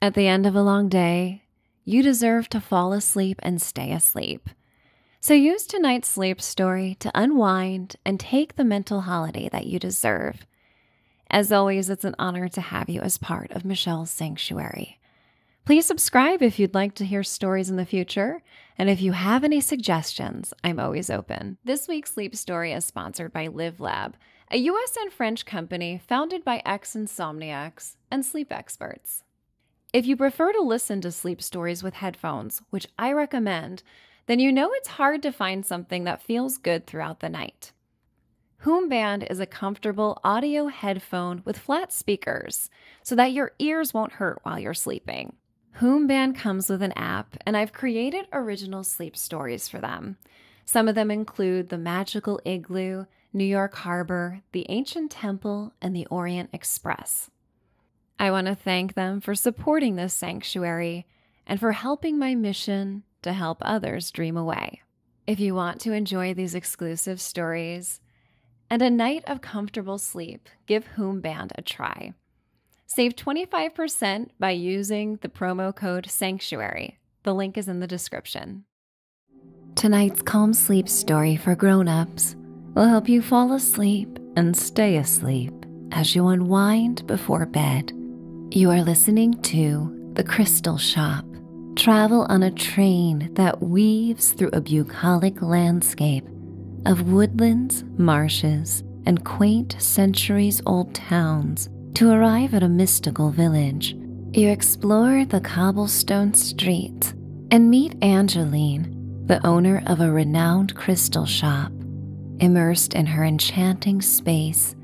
At the end of a long day, you deserve to fall asleep and stay asleep. So use tonight's sleep story to unwind and take the mental holiday that you deserve. As always, it's an honor to have you as part of Michelle's Sanctuary. Please subscribe if you'd like to hear stories in the future. And if you have any suggestions, I'm always open. This week's sleep story is sponsored by Live Lab a US and French company founded by ex insomniacs and sleep experts. If you prefer to listen to sleep stories with headphones, which I recommend, then you know it's hard to find something that feels good throughout the night. Hoomband is a comfortable audio headphone with flat speakers so that your ears won't hurt while you're sleeping. Hoomband comes with an app, and I've created original sleep stories for them. Some of them include The Magical Igloo, New York Harbor, the Ancient Temple, and the Orient Express. I want to thank them for supporting this sanctuary and for helping my mission to help others dream away. If you want to enjoy these exclusive stories and a night of comfortable sleep, give Hoomband a try. Save 25% by using the promo code SANCTUARY. The link is in the description. Tonight's Calm Sleep story for grown ups will help you fall asleep and stay asleep as you unwind before bed. You are listening to The Crystal Shop. Travel on a train that weaves through a bucolic landscape of woodlands, marshes, and quaint centuries old towns to arrive at a mystical village, you explore the cobblestone streets and meet Angeline, the owner of a renowned crystal shop. Immersed in her enchanting space,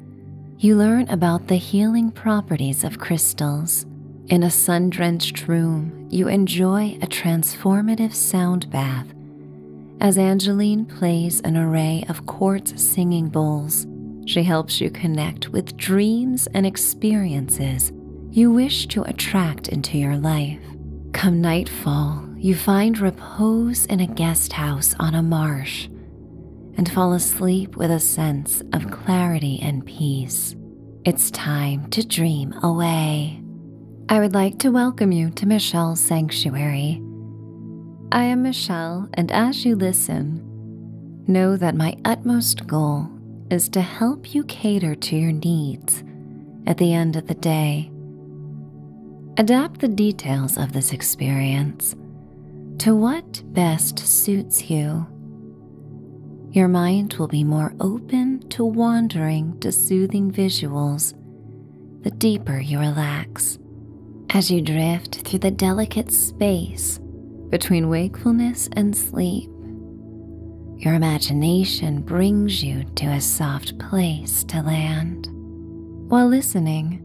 you learn about the healing properties of crystals. In a sun drenched room, you enjoy a transformative sound bath as Angeline plays an array of quartz singing bowls she helps you connect with dreams and experiences you wish to attract into your life. Come nightfall, you find repose in a guest house on a marsh and fall asleep with a sense of clarity and peace. It's time to dream away. I would like to welcome you to Michelle's Sanctuary. I am Michelle, and as you listen, Know that my utmost goal is to help you cater to your needs at the end of the day. Adapt the details of this experience to what best suits you. Your mind will be more open to wandering to soothing visuals the deeper you relax. As you drift through the delicate space between wakefulness and sleep, your imagination brings you to a soft place to land. While listening,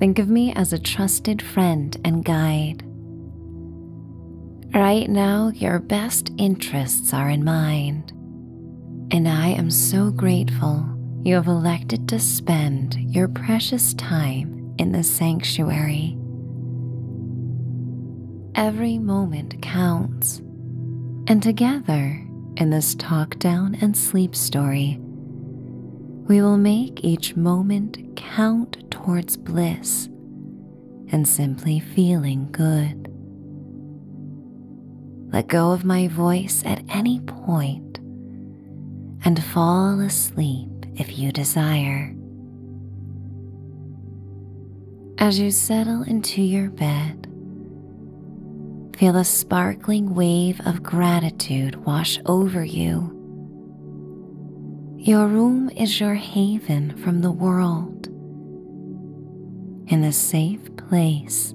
think of me as a trusted friend and guide. Right now, your best interests are in mind, and I am so grateful you have elected to spend your precious time in the sanctuary. Every moment counts, and together in this talk down and sleep story, we will make each moment count towards bliss and simply feeling good. Let go of my voice at any point and fall asleep if you desire. As you settle into your bed, feel a sparkling wave of gratitude wash over you. Your room is your haven from the world. In a safe place,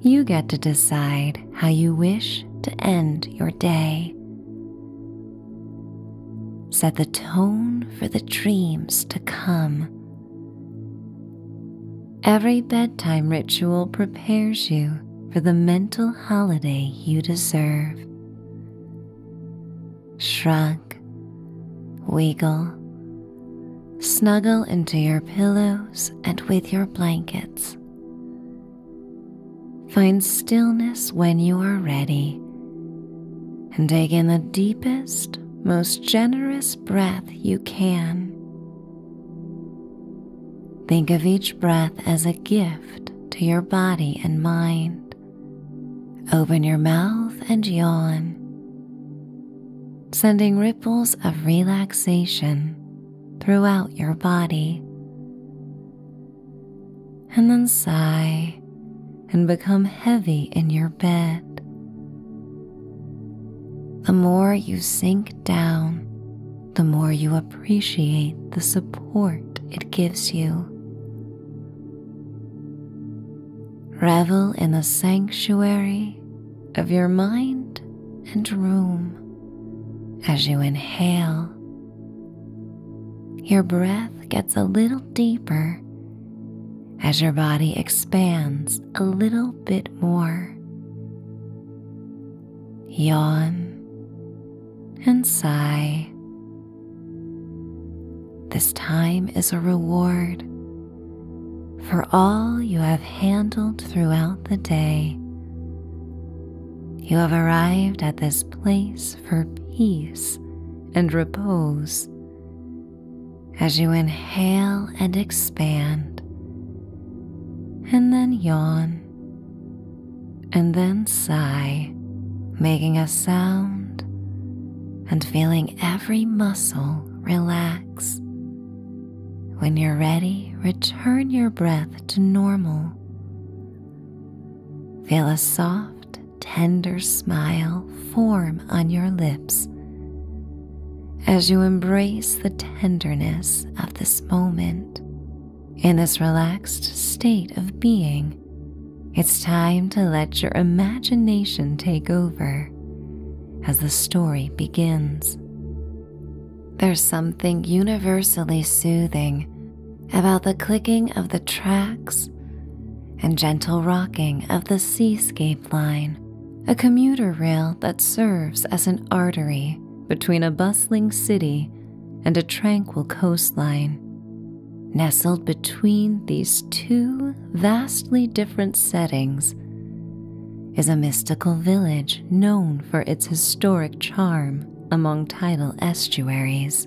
you get to decide how you wish to end your day set the tone for the dreams to come. Every bedtime ritual prepares you for the mental holiday you deserve. Shrug, wiggle, snuggle into your pillows and with your blankets. Find stillness when you are ready and take in the deepest, most generous breath you can. Think of each breath as a gift to your body and mind. Open your mouth and yawn, sending ripples of relaxation throughout your body and then sigh and become heavy in your bed. The more you sink down, the more you appreciate the support it gives you. Revel in the sanctuary of your mind and room as you inhale your breath gets a little deeper as your body expands a little bit more. Yawn and sigh. This time is a reward for all you have handled throughout the day. You have arrived at this place for peace and repose as you inhale and expand, and then yawn, and then sigh, making a sound and feeling every muscle relax. When you're ready, return your breath to normal. Feel a soft, tender smile form on your lips as you embrace the tenderness of this moment. In this relaxed state of being, it's time to let your imagination take over as the story begins. There's something universally soothing about the clicking of the tracks and gentle rocking of the seascape line, a commuter rail that serves as an artery between a bustling city and a tranquil coastline. Nestled between these two vastly different settings is a mystical village known for its historic charm among tidal estuaries.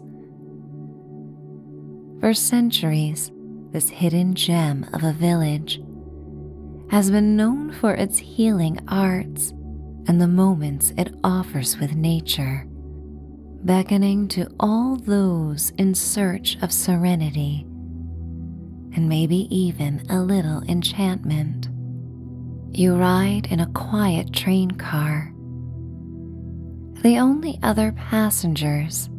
For centuries, this hidden gem of a village has been known for its healing arts and the moments it offers with nature, beckoning to all those in search of serenity and maybe even a little enchantment. You ride in a quiet train car the only other passengers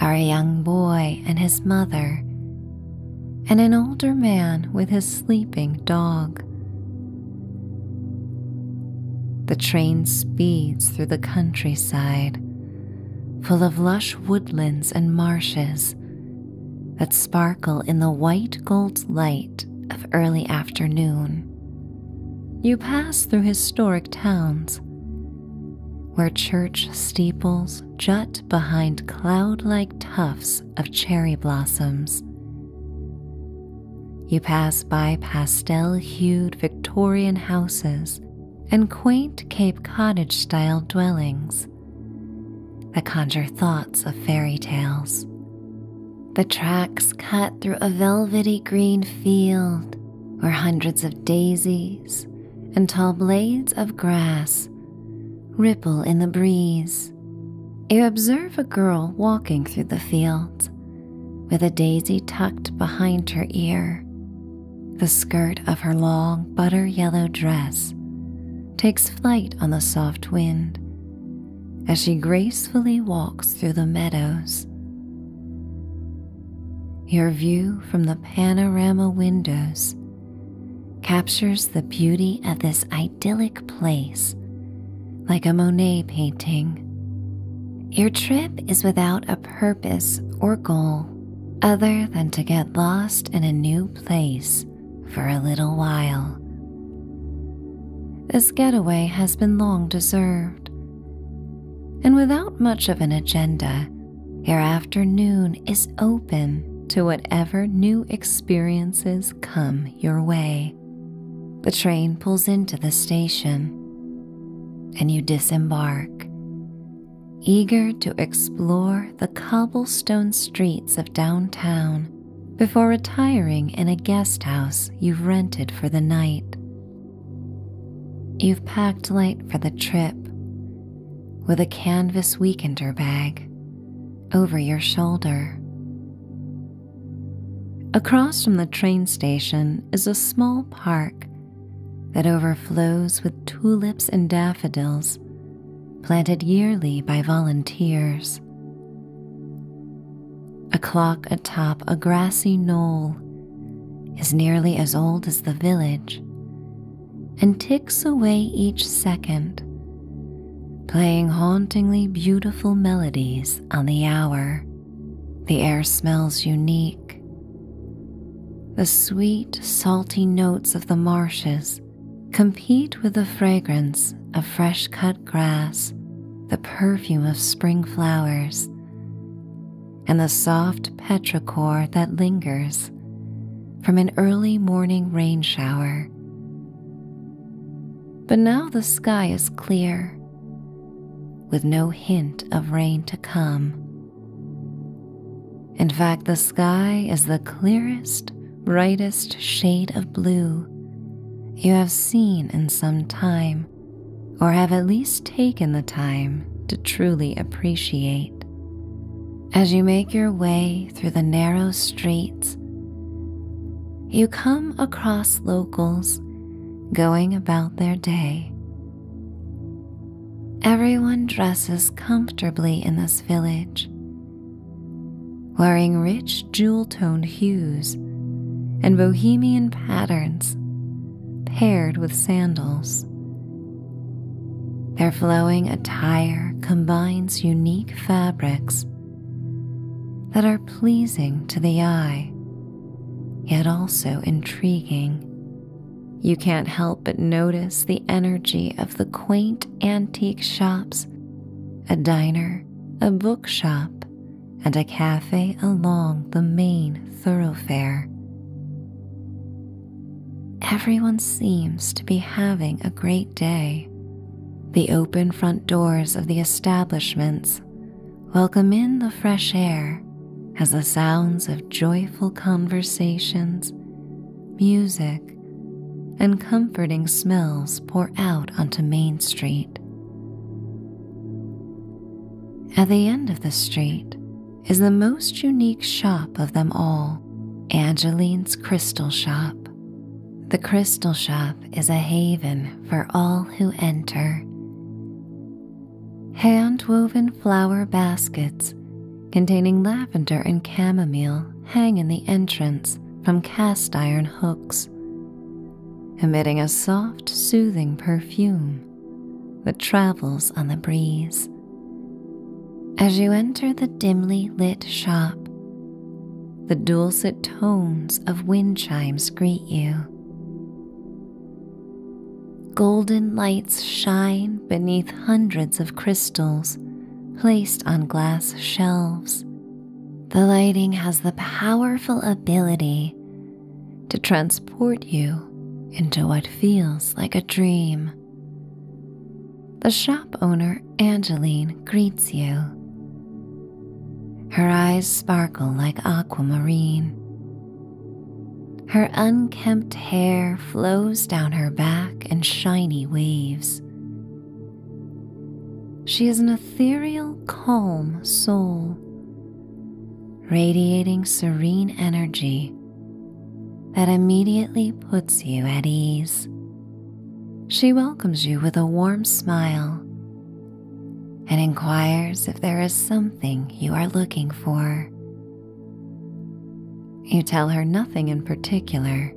are a young boy and his mother, and an older man with his sleeping dog. The train speeds through the countryside, full of lush woodlands and marshes that sparkle in the white gold light of early afternoon. You pass through historic towns where church steeples jut behind cloud like tufts of cherry blossoms. You pass by pastel hued Victorian houses and quaint Cape Cottage style dwellings that conjure thoughts of fairy tales. The tracks cut through a velvety green field where hundreds of daisies and tall blades of grass ripple in the breeze. You observe a girl walking through the field with a daisy tucked behind her ear. The skirt of her long butter yellow dress takes flight on the soft wind as she gracefully walks through the meadows. Your view from the panorama windows captures the beauty of this idyllic place like a Monet painting. Your trip is without a purpose or goal other than to get lost in a new place for a little while. This getaway has been long deserved. And without much of an agenda, your afternoon is open to whatever new experiences come your way. The train pulls into the station, and you disembark, eager to explore the cobblestone streets of downtown before retiring in a guest house you've rented for the night. You've packed light for the trip with a canvas weekender bag over your shoulder. Across from the train station is a small park that overflows with tulips and daffodils planted yearly by volunteers. A clock atop a grassy knoll is nearly as old as the village and ticks away each second, playing hauntingly beautiful melodies on the hour. The air smells unique. The sweet, salty notes of the marshes compete with the fragrance of fresh cut grass, the perfume of spring flowers, and the soft petrichor that lingers from an early morning rain shower. But now the sky is clear, with no hint of rain to come. In fact, the sky is the clearest, brightest shade of blue you have seen in some time or have at least taken the time to truly appreciate. As you make your way through the narrow streets, you come across locals going about their day. Everyone dresses comfortably in this village, wearing rich jewel toned hues and bohemian patterns paired with sandals. Their flowing attire combines unique fabrics that are pleasing to the eye, yet also intriguing. You can't help but notice the energy of the quaint antique shops, a diner, a bookshop, and a cafe along the main thoroughfare. Everyone seems to be having a great day. The open front doors of the establishments welcome in the fresh air as the sounds of joyful conversations, music, and comforting smells pour out onto Main Street. At the end of the street is the most unique shop of them all, Angeline's Crystal Shop. The Crystal Shop is a haven for all who enter. Hand woven flower baskets containing lavender and chamomile hang in the entrance from cast iron hooks emitting a soft, soothing perfume that travels on the breeze. As you enter the dimly lit shop, the dulcet tones of wind chimes greet you. Golden lights shine beneath hundreds of crystals placed on glass shelves the lighting has the powerful ability to transport you into what feels like a dream. The shop owner, Angeline, greets you. Her eyes sparkle like aquamarine. Her unkempt hair flows down her back in shiny waves, she is an ethereal, calm soul, radiating serene energy that immediately puts you at ease. She welcomes you with a warm smile and inquires if there is something you are looking for. You tell her nothing in particular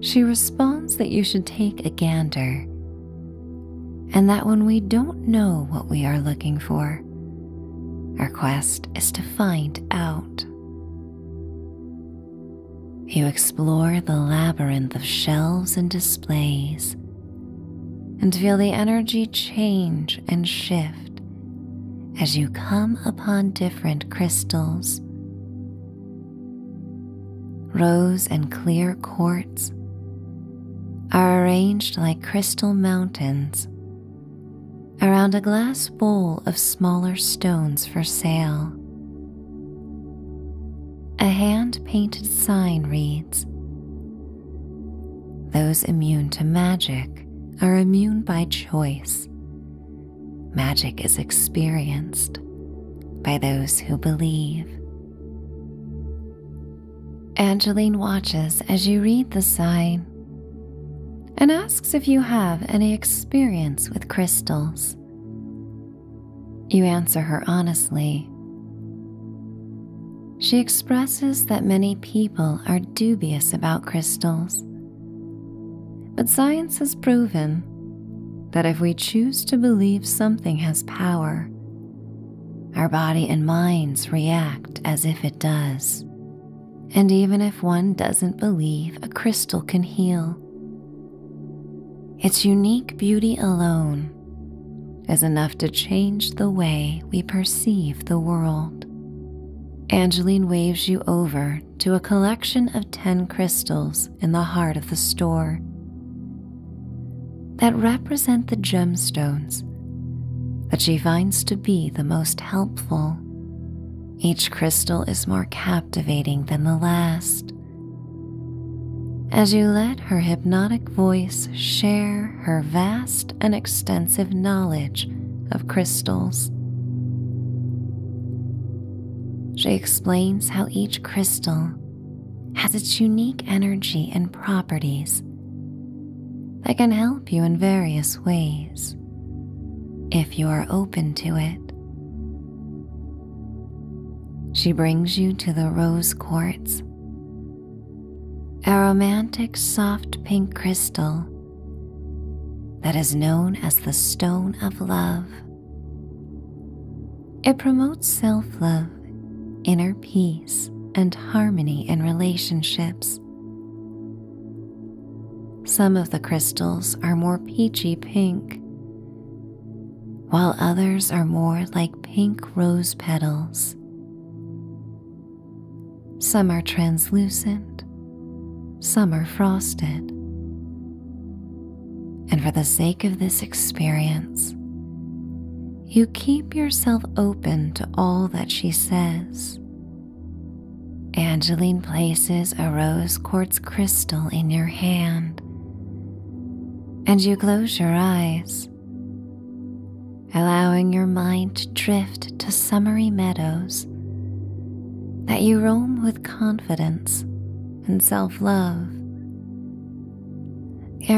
she responds that you should take a gander and that when we don't know what we are looking for, our quest is to find out. You explore the labyrinth of shelves and displays and feel the energy change and shift as you come upon different crystals, Rose and clear quartz are arranged like crystal mountains around a glass bowl of smaller stones for sale. A hand painted sign reads Those immune to magic are immune by choice. Magic is experienced by those who believe. Angeline watches as you read the sign and asks if you have any experience with crystals. You answer her honestly. She expresses that many people are dubious about crystals, but science has proven that if we choose to believe something has power, our body and minds react as if it does. And even if one doesn't believe a crystal can heal, its unique beauty alone is enough to change the way we perceive the world. Angeline waves you over to a collection of 10 crystals in the heart of the store that represent the gemstones that she finds to be the most helpful. Each crystal is more captivating than the last. As you let her hypnotic voice share her vast and extensive knowledge of crystals, she explains how each crystal has its unique energy and properties that can help you in various ways if you are open to it. She brings you to the rose quartz, a romantic soft pink crystal that is known as the stone of love. It promotes self love, inner peace, and harmony in relationships. Some of the crystals are more peachy pink, while others are more like pink rose petals. Some are translucent, some are frosted, and for the sake of this experience, you keep yourself open to all that she says. Angeline places a rose quartz crystal in your hand, and you close your eyes, allowing your mind to drift to summery meadows that you roam with confidence and self love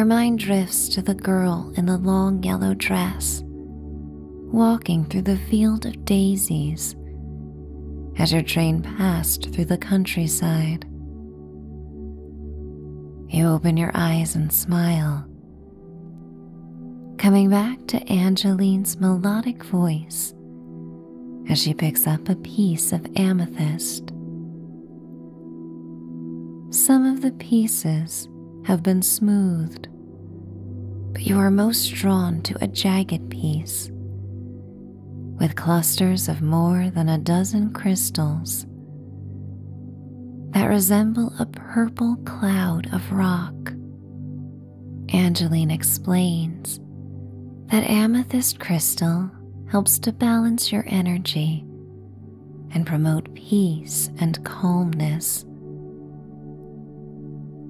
mind drifts to the girl in the long yellow dress, walking through the field of daisies as your train passed through the countryside. You open your eyes and smile, coming back to Angeline's melodic voice as she picks up a piece of amethyst. Some of the pieces have been smoothed, but you are most drawn to a jagged piece with clusters of more than a dozen crystals that resemble a purple cloud of rock. Angeline explains that amethyst crystal helps to balance your energy and promote peace and calmness.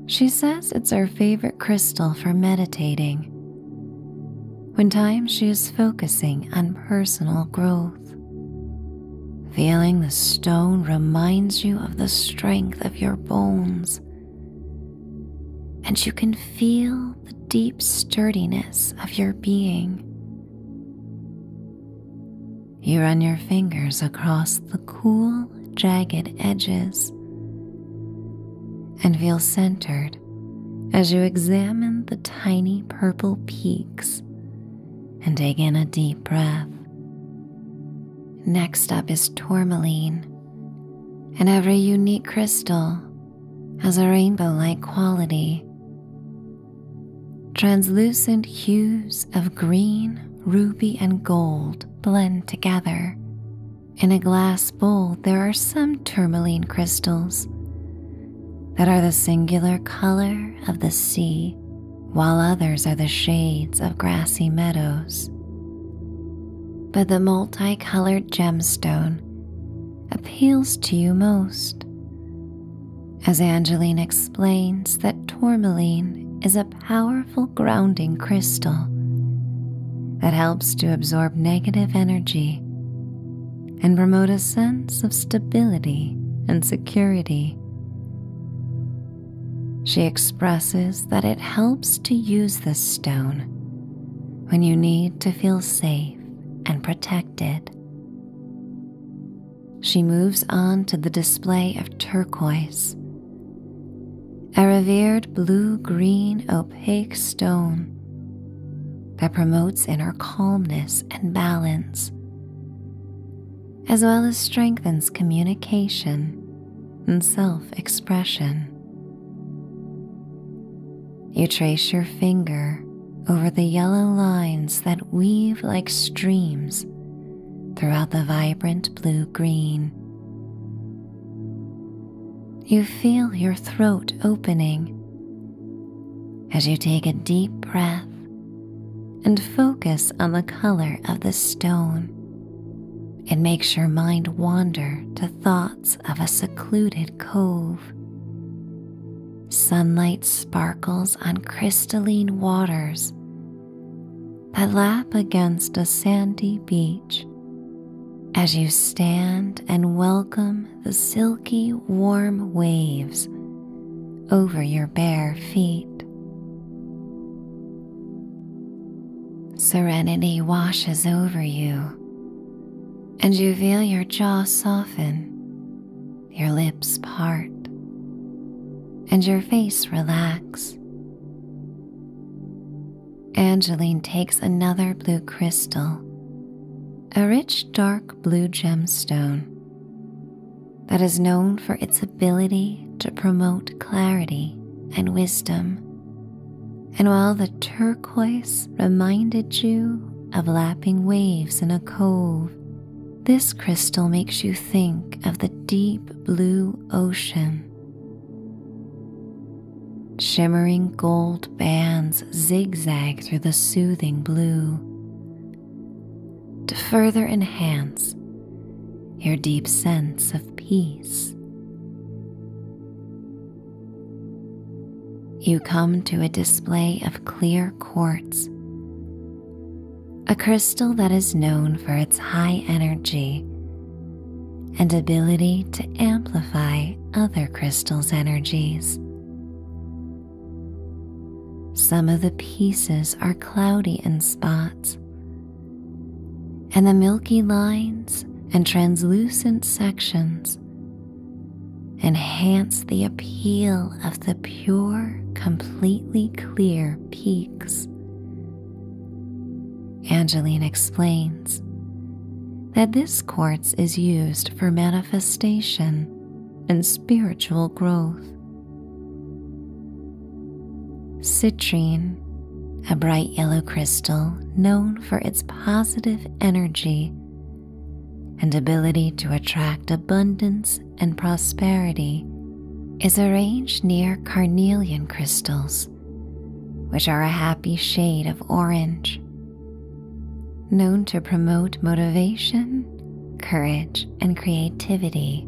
She says it's her favorite crystal for meditating when time she is focusing on personal growth. Feeling the stone reminds you of the strength of your bones, and you can feel the deep sturdiness of your being. You run your fingers across the cool, jagged edges and feel centered as you examine the tiny purple peaks and take in a deep breath. Next up is tourmaline, and every unique crystal has a rainbow like quality. Translucent hues of green, ruby, and gold blend together. In a glass bowl, there are some tourmaline crystals that are the singular color of the sea, while others are the shades of grassy meadows. But the multicolored gemstone appeals to you most. As Angeline explains that tourmaline is a powerful grounding crystal that helps to absorb negative energy and promote a sense of stability and security. She expresses that it helps to use this stone when you need to feel safe safe and protected. She moves on to the display of turquoise, a revered blue green opaque stone that promotes inner calmness and balance, as well as strengthens communication and self expression. You trace your finger over the yellow lines that weave like streams throughout the vibrant blue green. You feel your throat opening as you take a deep breath and focus on the color of the stone. It makes your mind wander to thoughts of a secluded cove. Sunlight sparkles on crystalline waters that lap against a sandy beach as you stand and welcome the silky warm waves over your bare feet. Serenity washes over you, and you feel your jaw soften, your lips part, and your face relax. Angeline takes another blue crystal, a rich dark blue gemstone that is known for its ability to promote clarity and wisdom. And while the turquoise turquoise reminded you of lapping waves in a cove. This crystal makes you think of the deep blue ocean. Shimmering gold bands zigzag through the soothing blue. To further enhance your deep sense of peace. You come to a display of clear quartz, a crystal that is known for its high energy and ability to amplify other crystals' energies. Some of the pieces are cloudy in spots, and the milky lines and translucent sections enhance the appeal of the pure, completely clear peaks. Angeline explains that this quartz is used for manifestation and spiritual growth. Citrine, a bright yellow crystal known for its positive energy and ability to attract abundance and prosperity is arranged near carnelian crystals, which are a happy shade of orange, known to promote motivation, courage, and creativity.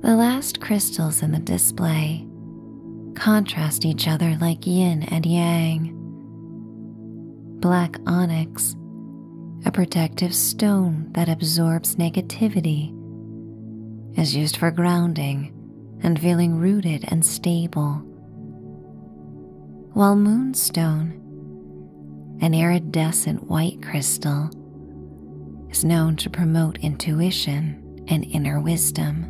The last crystals in the display contrast each other like yin and yang. Black onyx, a protective stone that absorbs negativity, is used for grounding and feeling rooted and stable. While moonstone, an iridescent white crystal, is known to promote intuition and inner wisdom.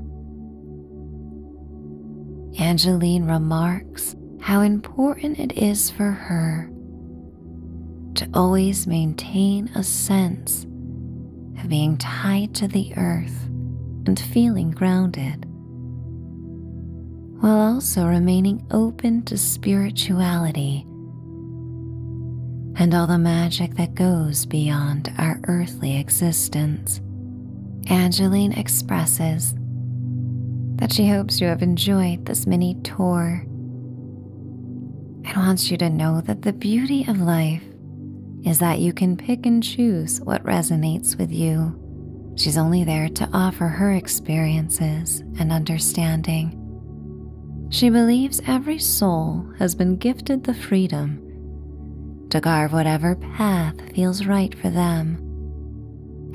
Angeline remarks how important it is for her to always maintain a sense of being tied to the earth and feeling grounded, while also remaining open to spirituality and all the magic that goes beyond our earthly existence. Angeline expresses that she hopes you have enjoyed this mini tour and wants you to know that the beauty of life is that you can pick and choose what resonates with you. She's only there to offer her experiences and understanding. She believes every soul has been gifted the freedom to carve whatever path feels right for them.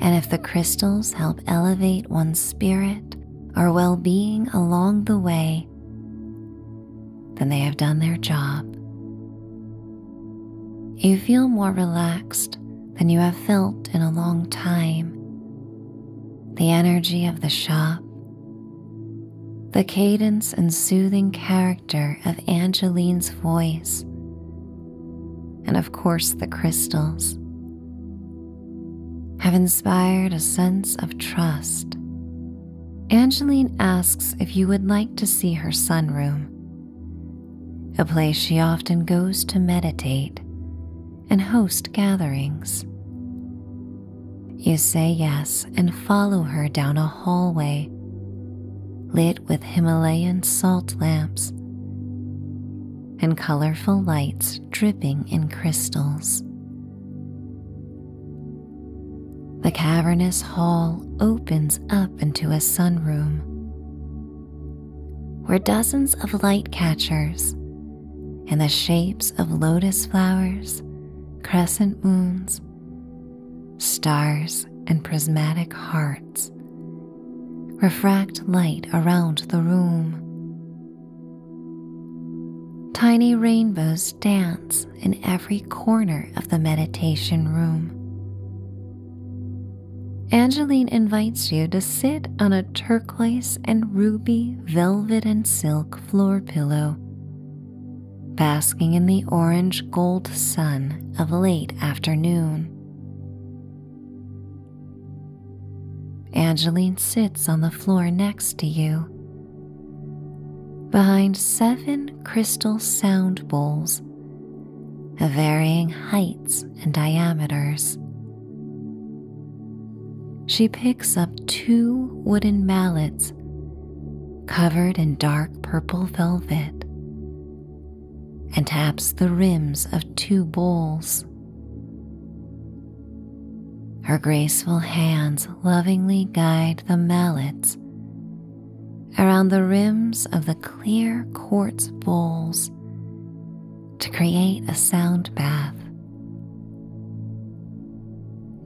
And if the crystals help elevate one's spirit or well being along the way, then they have done their job. You feel more relaxed than you have felt in a long time. The energy of the shop, the cadence and soothing character of Angeline's voice, and of course the crystals, have inspired a sense of trust. Angeline asks if you would like to see her sunroom, a place she often goes to meditate and host gatherings. You say yes and follow her down a hallway lit with Himalayan salt lamps and colorful lights dripping in crystals. The cavernous hall opens up into a sunroom where dozens of light catchers in the shapes of lotus flowers, crescent moons, Stars and prismatic hearts refract light around the room. Tiny rainbows dance in every corner of the meditation room. Angeline invites you to sit on a turquoise and ruby velvet and silk floor pillow basking in the orange gold sun of late afternoon. Angeline sits on the floor next to you. Behind seven crystal sound bowls of varying heights and diameters, she picks up two wooden mallets covered in dark purple velvet, and taps the rims of two bowls. Her graceful hands lovingly guide the mallets around the rims of the clear quartz bowls to create a sound bath.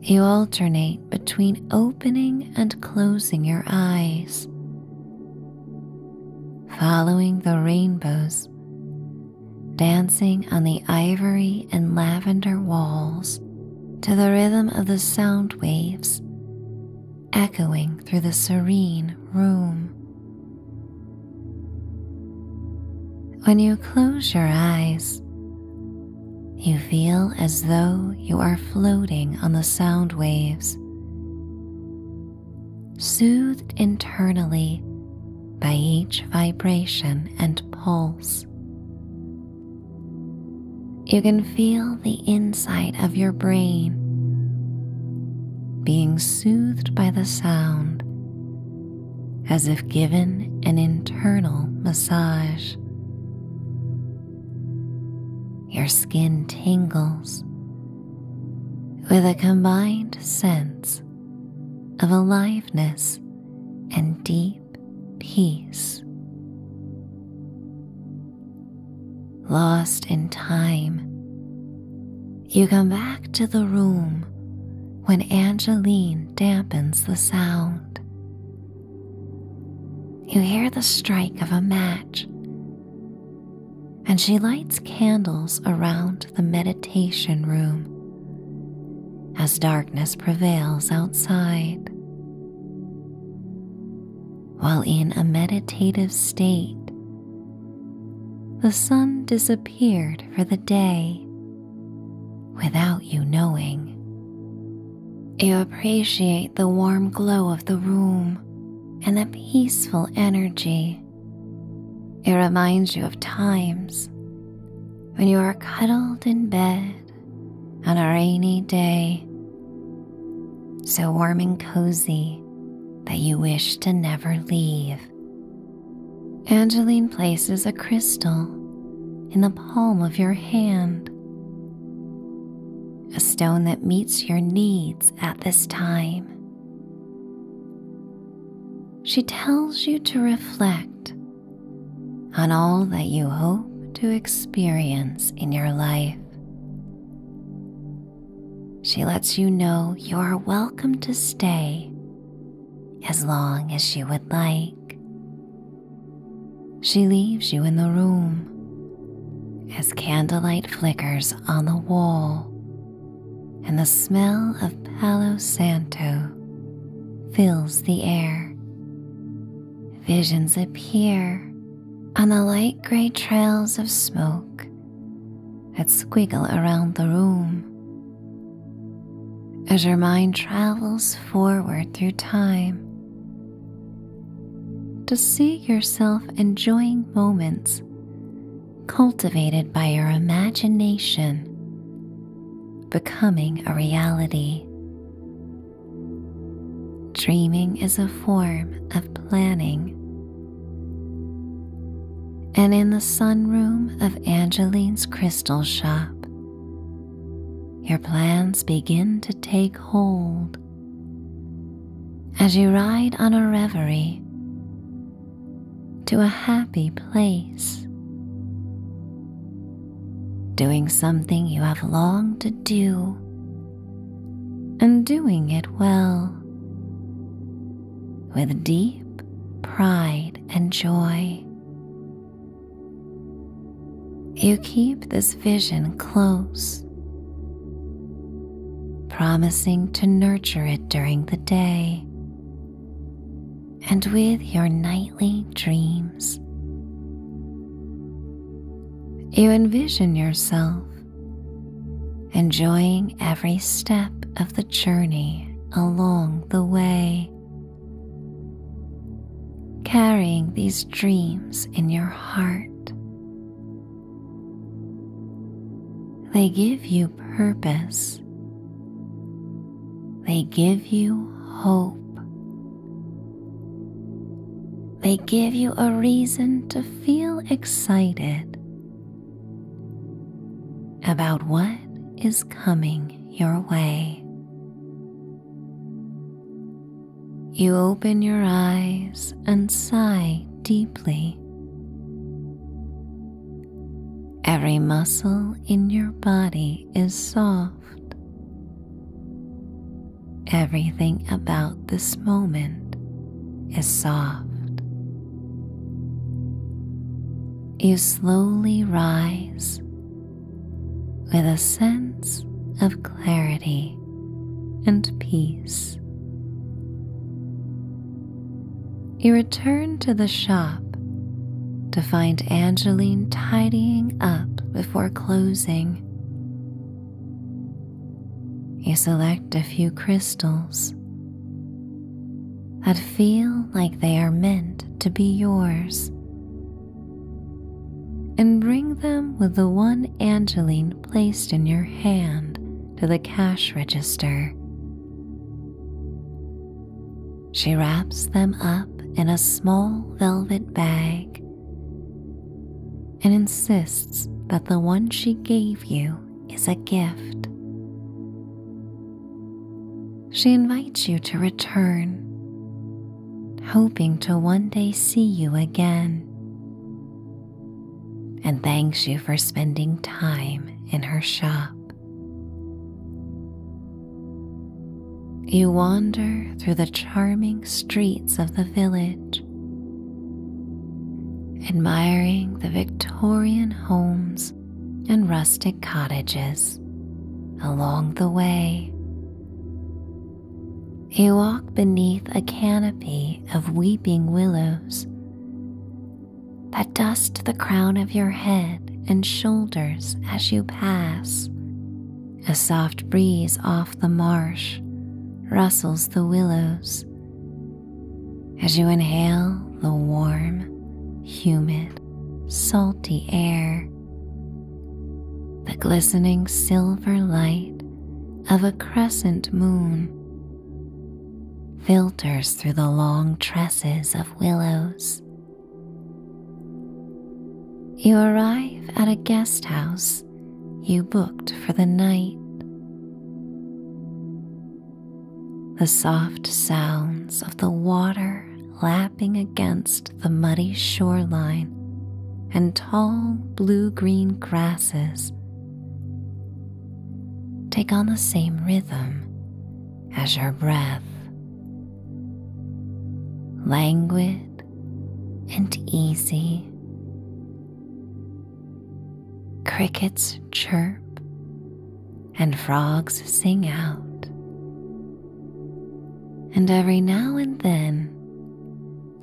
You alternate between opening and closing your eyes, following the rainbows dancing on the ivory and lavender walls to the rhythm of the sound waves echoing through the serene room. When you close your eyes, you feel as though you are floating on the sound waves, soothed internally by each vibration and pulse. You can feel the inside of your brain being soothed by the sound as if given an internal massage. Your skin tingles with a combined sense of aliveness and deep peace. Lost in time, you come back to the room when Angeline dampens the sound you hear the strike of a match, and she lights candles around the meditation room as darkness prevails outside. While in a meditative state, the sun disappeared for the day without you knowing. You appreciate the warm glow of the room and the peaceful energy. It reminds you of times when you are cuddled in bed on a rainy day, so warm and cozy that you wish to never leave. Angeline places a crystal in the palm of your hand a stone that meets your needs at this time. She tells you to reflect on all that you hope to experience in your life. She lets you know you are welcome to stay as long as you would like, she leaves you in the room as candlelight flickers on the wall and the smell of Palo Santo fills the air. Visions appear on the light gray trails of smoke that squiggle around the room. As your mind travels forward through time to see yourself enjoying moments cultivated by your imagination becoming a reality. Dreaming is a form of planning. And in the sunroom of Angeline's crystal shop, your plans begin to take hold as you ride on a reverie to a happy place, doing something you have longed to do and doing it well with deep pride and joy. You keep this vision close, promising to nurture it during the day and with your nightly dreams. You envision yourself enjoying every step of the journey along the way, carrying these dreams in your heart they give you purpose. They give you hope. They give you a reason to feel excited about what is coming your way. You open your eyes and sigh deeply. Every muscle in your body is soft. Everything about this moment is soft. You slowly rise with a sense of clarity and peace. You return to the shop to find Angeline tidying up before closing. You select a few crystals that feel like they are meant to be yours and bring them with the one Angeline placed in your hand to the cash register. She wraps them up in a small velvet bag and insists that the one she gave you is a gift. She invites you to return hoping to one day see you again, and thanks you for spending time in her shop. You wander through the charming streets of the village admiring the Victorian homes and rustic cottages along the way, you walk beneath a canopy of weeping willows that dust the crown of your head and shoulders as you pass. A soft breeze off the marsh rustles the willows as you inhale the warm, humid, salty air. The glistening silver light of a crescent moon filters through the long tresses of willows. You arrive at a guest house you booked for the night. The soft sounds of the water lapping against the muddy shoreline and tall blue green grasses take on the same rhythm as your breath, languid and easy. Crickets chirp and frogs sing out, and every now and then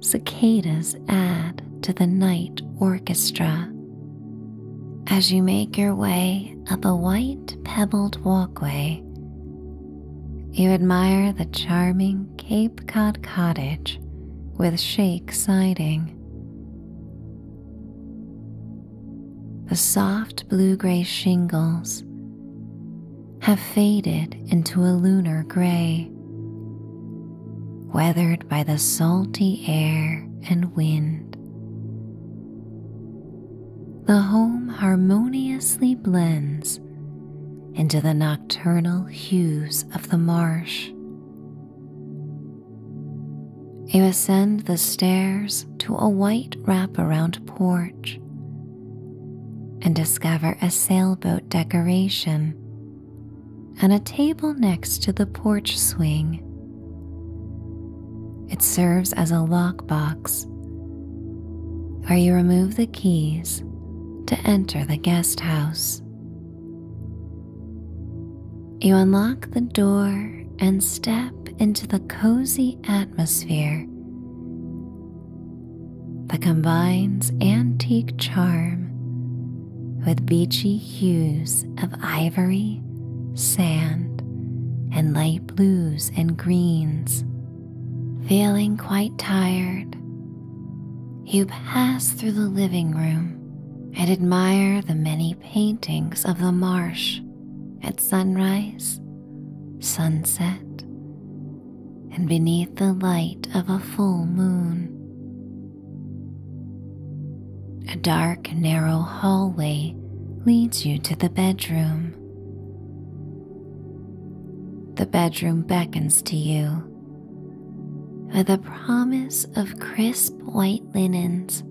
Cicadas add to the night orchestra. As you make your way up a white pebbled walkway, you admire the charming Cape Cod cottage with shake siding. The soft blue gray shingles have faded into a lunar gray, weathered by the salty air and wind. The home harmoniously blends into the nocturnal hues of the marsh. You ascend the stairs to a white wraparound porch and discover a sailboat decoration and a table next to the porch swing. It serves as a lockbox where you remove the keys to enter the guest house. You unlock the door and step into the cozy atmosphere that combines antique charm with beachy hues of ivory, sand, and light blues and greens. Feeling quite tired, you pass through the living room and admire the many paintings of the marsh at sunrise, sunset, and beneath the light of a full moon. A dark, narrow hallway leads you to the bedroom. The bedroom beckons to you with a promise of crisp white linens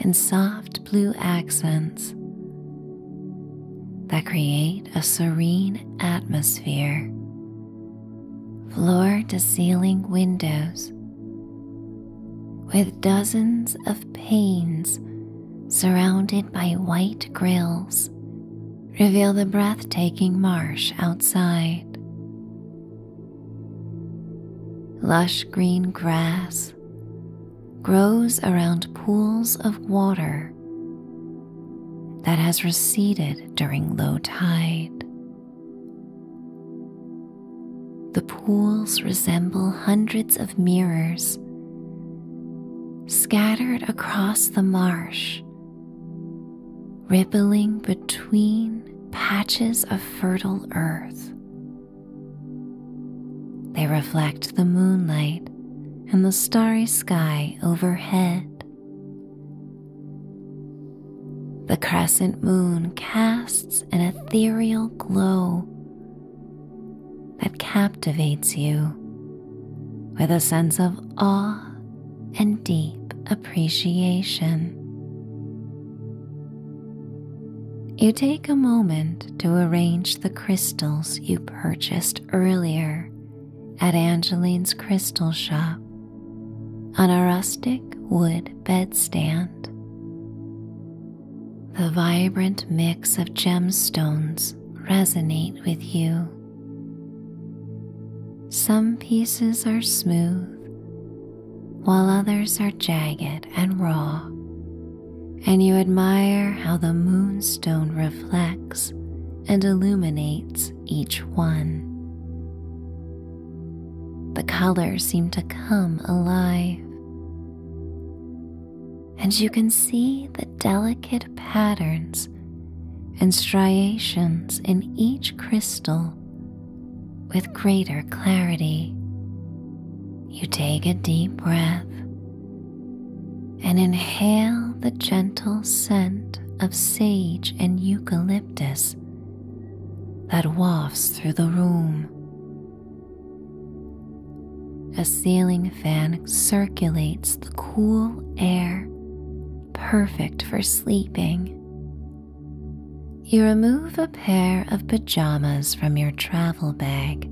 and soft blue accents that create a serene atmosphere floor to ceiling windows with dozens of panes surrounded by white grills reveal the breathtaking marsh outside. Lush green grass grows around pools of water that has receded during low tide. The pools resemble hundreds of mirrors scattered across the marsh, rippling between patches of fertile earth. They reflect the moonlight and the starry sky overhead. The crescent moon casts an ethereal glow that captivates you with a sense of awe and deep appreciation. You take a moment to arrange the crystals you purchased earlier at Angeline's crystal shop on a rustic wood bedstand. The vibrant mix of gemstones resonate with you. Some pieces are smooth, while others are jagged and raw, and you admire how the moonstone reflects and illuminates each one. The colors seem to come alive, and you can see the delicate patterns and striations in each crystal with greater clarity. You take a deep breath and inhale the gentle scent of sage and eucalyptus that wafts through the room. A ceiling fan circulates the cool air, perfect for sleeping. You remove a pair of pajamas from your travel bag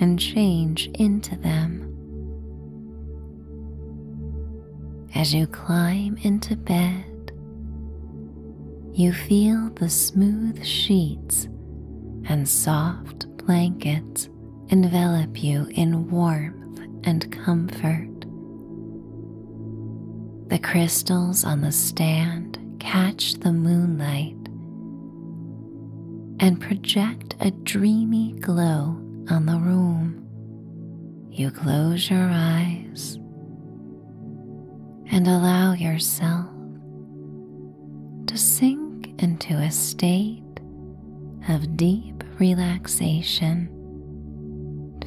and change into them. As you climb into bed, you feel the smooth sheets and soft blankets envelop you in warmth and comfort. The crystals on the stand catch the moonlight and project a dreamy glow on the room you close your eyes and allow yourself to sink into a state of deep relaxation,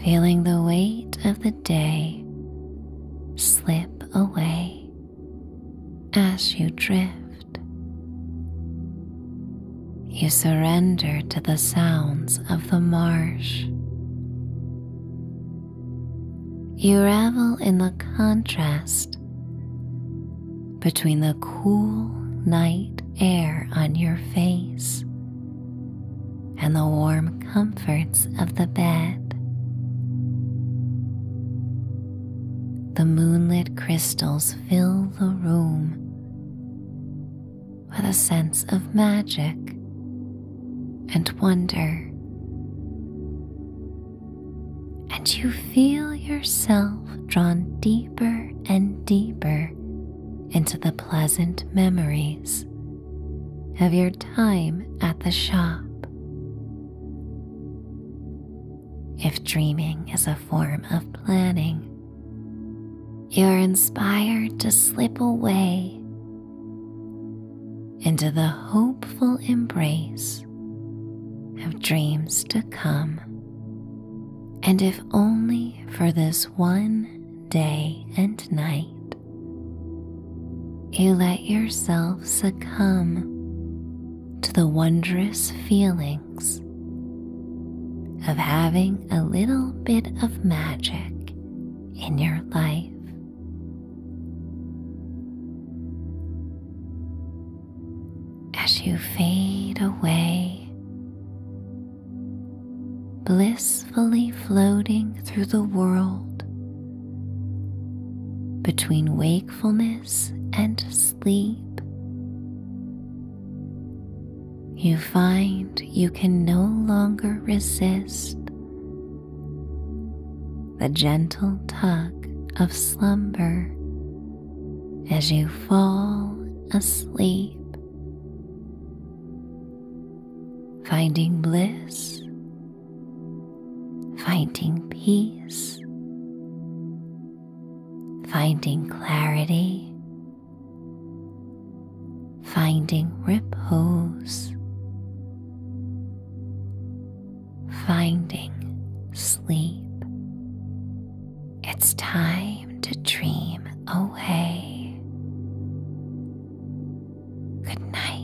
feeling the weight of the day slip away as you drift. You surrender to the sounds of the marsh. You revel in the contrast between the cool night air on your face and the warm comforts of the bed. The moonlit crystals fill the room, with a sense of magic and wonder. And you feel yourself drawn deeper and deeper into the pleasant memories of your time at the shop. If dreaming is a form of planning, you're inspired to slip away into the hopeful embrace of dreams to come. And if only for this one day and night, you let yourself succumb to the wondrous feeling of having a little bit of magic in your life. As you fade away, blissfully floating through the world between wakefulness and sleep, you find you can no longer resist the gentle tug of slumber as you fall asleep, finding bliss, finding peace, finding clarity finding repose, finding sleep. It's time to dream away. Good night.